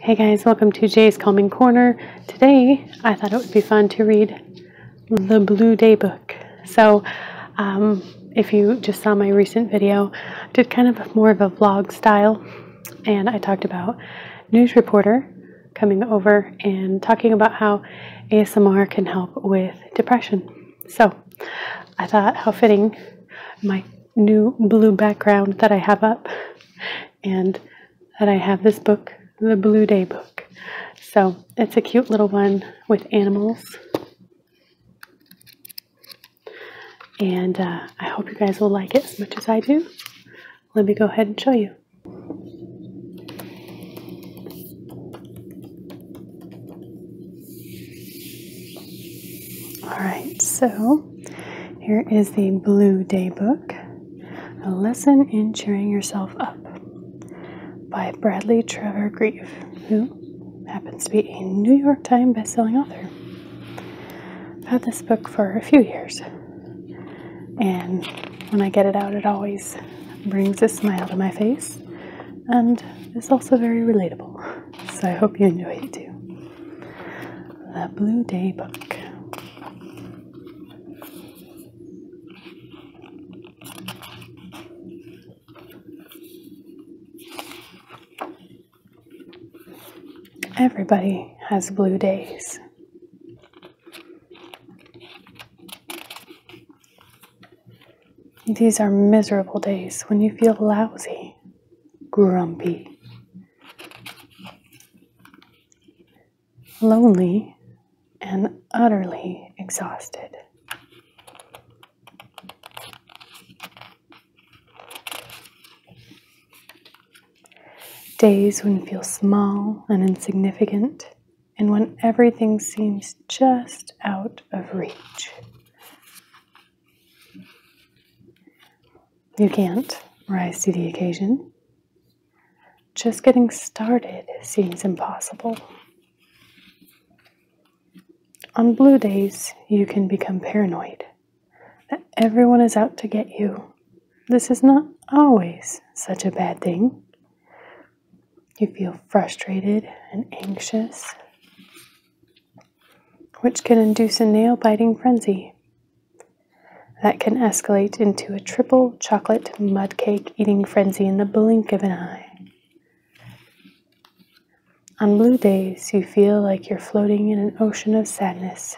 Hey guys, welcome to Jay's Calming Corner. Today, I thought it would be fun to read the Blue Day book. So, um, if you just saw my recent video, I did kind of more of a vlog style, and I talked about news reporter coming over and talking about how ASMR can help with depression. So, I thought how fitting my new blue background that I have up and that I have this book, the Blue Day book. So it's a cute little one with animals. And uh, I hope you guys will like it as much as I do. Let me go ahead and show you. All right, so here is the Blue Day Book A Lesson in Cheering Yourself Up by Bradley Trevor Grieve, who happens to be a New York Times bestselling author. I've had this book for a few years, and when I get it out, it always brings a smile to my face and is also very relatable. So I hope you enjoy it too the Blue Day book. Everybody has blue days. These are miserable days when you feel lousy, grumpy, lonely, and utterly exhausted. Days when you feel small and insignificant, and when everything seems just out of reach. You can't rise to the occasion. Just getting started seems impossible. On blue days, you can become paranoid that everyone is out to get you. This is not always such a bad thing. You feel frustrated and anxious, which can induce a nail biting frenzy that can escalate into a triple chocolate mud cake eating frenzy in the blink of an eye. On blue days, you feel like you're floating in an ocean of sadness.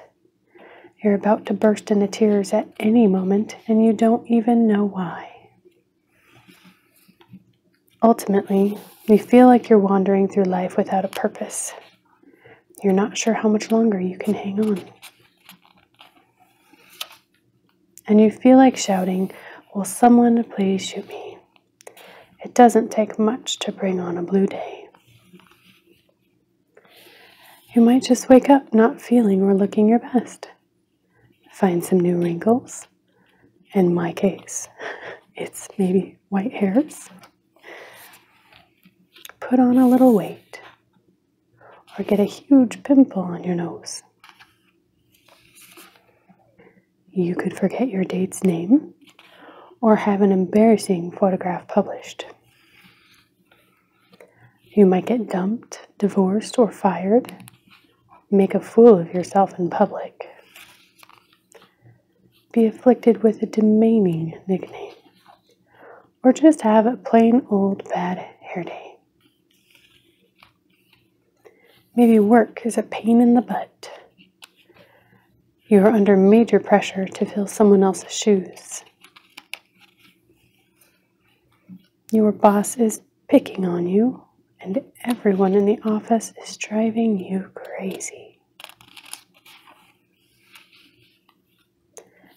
You're about to burst into tears at any moment, and you don't even know why. Ultimately, you feel like you're wandering through life without a purpose. You're not sure how much longer you can hang on. And you feel like shouting, Will someone please shoot me? It doesn't take much to bring on a blue day. You might just wake up not feeling or looking your best. Find some new wrinkles. In my case, it's maybe white hairs put on a little weight or get a huge pimple on your nose. You could forget your date's name or have an embarrassing photograph published. You might get dumped, divorced, or fired. Make a fool of yourself in public be afflicted with a demeaning nickname, or just have a plain old bad hair day. Maybe work is a pain in the butt. You are under major pressure to fill someone else's shoes. Your boss is picking on you, and everyone in the office is driving you crazy.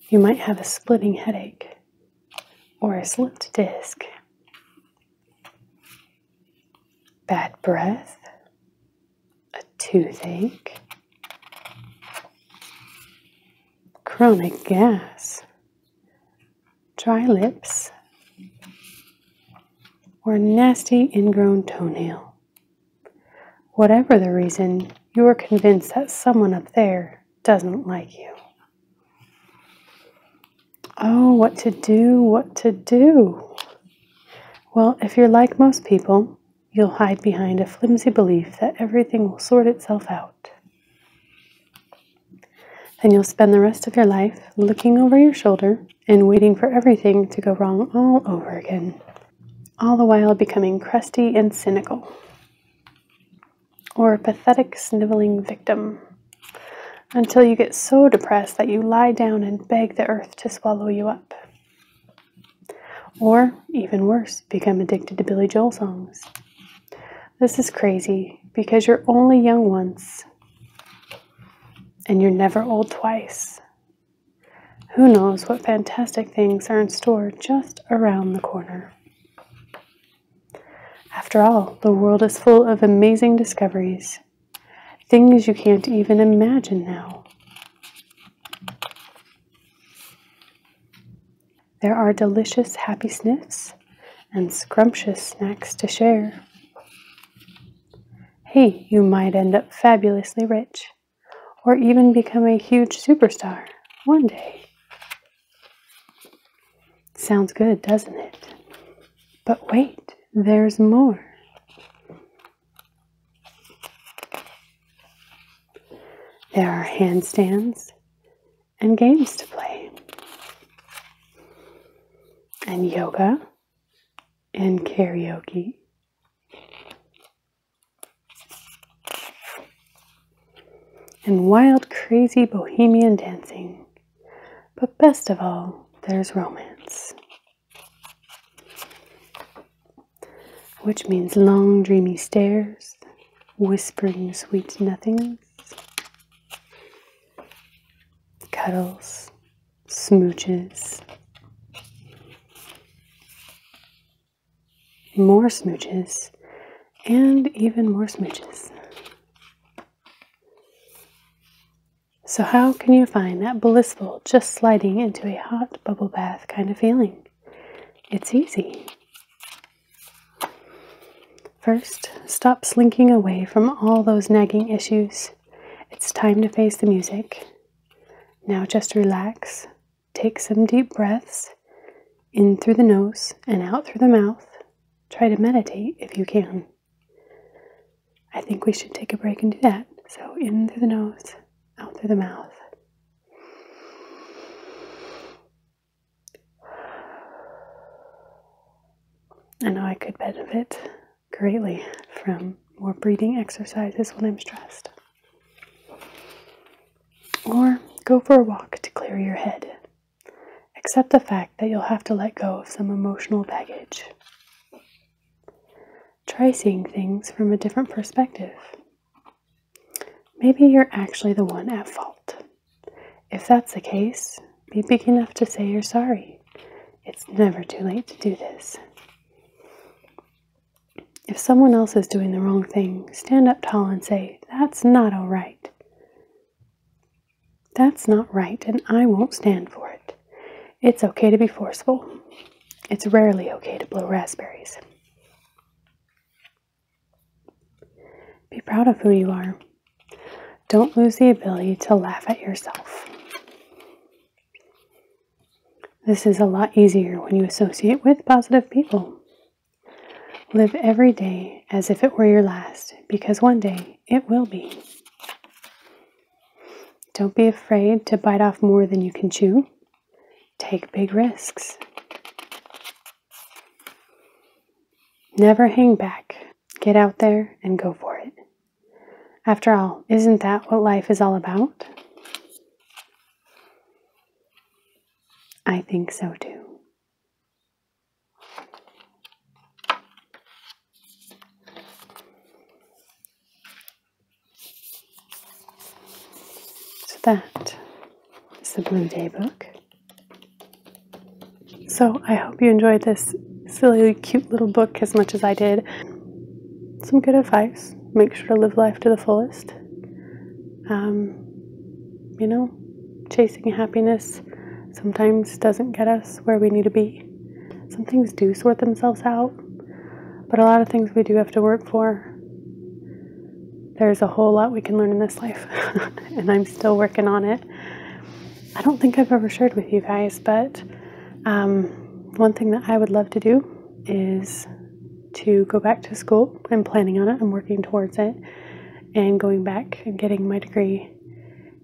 You might have a splitting headache or a slipped disc, bad breath, a toothache, chronic gas, dry lips, or a nasty ingrown toenail. Whatever the reason, you are convinced that someone up there doesn't like you. Oh, what to do, what to do. Well, if you're like most people, you'll hide behind a flimsy belief that everything will sort itself out. Then you'll spend the rest of your life looking over your shoulder and waiting for everything to go wrong all over again all the while becoming crusty and cynical, or a pathetic, sniveling victim, until you get so depressed that you lie down and beg the earth to swallow you up. Or, even worse, become addicted to Billy Joel songs. This is crazy because you're only young once and you're never old twice. Who knows what fantastic things are in store just around the corner? After all, the world is full of amazing discoveries, things you can't even imagine now. There are delicious happy sniffs and scrumptious snacks to share. Hey, you might end up fabulously rich or even become a huge superstar one day. Sounds good, doesn't it? But wait, there's more. There are handstands and games to play, and yoga and karaoke and wild, crazy bohemian dancing. But best of all, there's romance, which means long, dreamy stares, whispering sweet nothings, cuddles, smooches more smooches, and even more smooches. So, how can you find that blissful, just sliding into a hot bubble bath kind of feeling? It's easy. First, stop slinking away from all those nagging issues. It's time to face the music. Now just relax, Take some deep breaths in through the nose and out through the mouth. Try to meditate if you can. I think we should take a break and do that. So, in through the nose, out through the mouth. I know I could benefit greatly from more breathing exercises when I'm stressed. Or go for a walk to clear your head. Accept the fact that you'll have to let go of some emotional baggage. Try seeing things from a different perspective. Maybe you're actually the one at fault. If that's the case, be big enough to say you're sorry. It's never too late to do this. If someone else is doing the wrong thing, stand up tall and say, That's not all right. That's not right, and I won't stand for it. It's okay to be forceful. It's rarely okay to blow raspberries. Be proud of who you are. Don't lose the ability to laugh at yourself. This is a lot easier when you associate with positive people. Live every day as if it were your last, because one day it will be. Don't be afraid to bite off more than you can chew. Take big risks. Never hang back. Get out there and go for it. After all, isn't that what life is all about? I think so too. So that is the Blue Day book. So I hope you enjoyed this silly, cute little book as much as I did. Some good advice make sure to live life to the fullest. Um, you know, chasing happiness sometimes doesn't get us where we need to be. Some things do sort themselves out, but a lot of things we do have to work for. There's a whole lot we can learn in this life, and I'm still working on it. I don't think I've ever shared with you guys, but um, one thing that I would love to do is to go back to school. I'm planning on it, I'm working towards it, and going back and getting my degree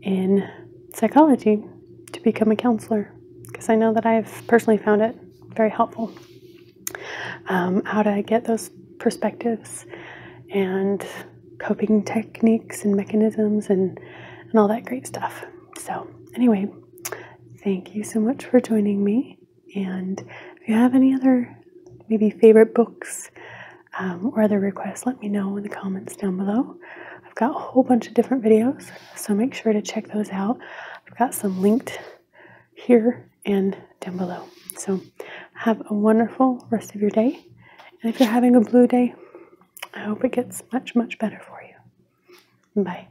in psychology to become a counselor because I know that I've personally found it very helpful. Um, how to get those perspectives and coping techniques and mechanisms and, and all that great stuff. So, anyway, thank you so much for joining me. And if you have any other maybe favorite books um, or other requests, let me know in the comments down below. I've got a whole bunch of different videos, so make sure to check those out. I've got some linked here and down below. So have a wonderful rest of your day. And if you're having a blue day, I hope it gets much, much better for you. Bye.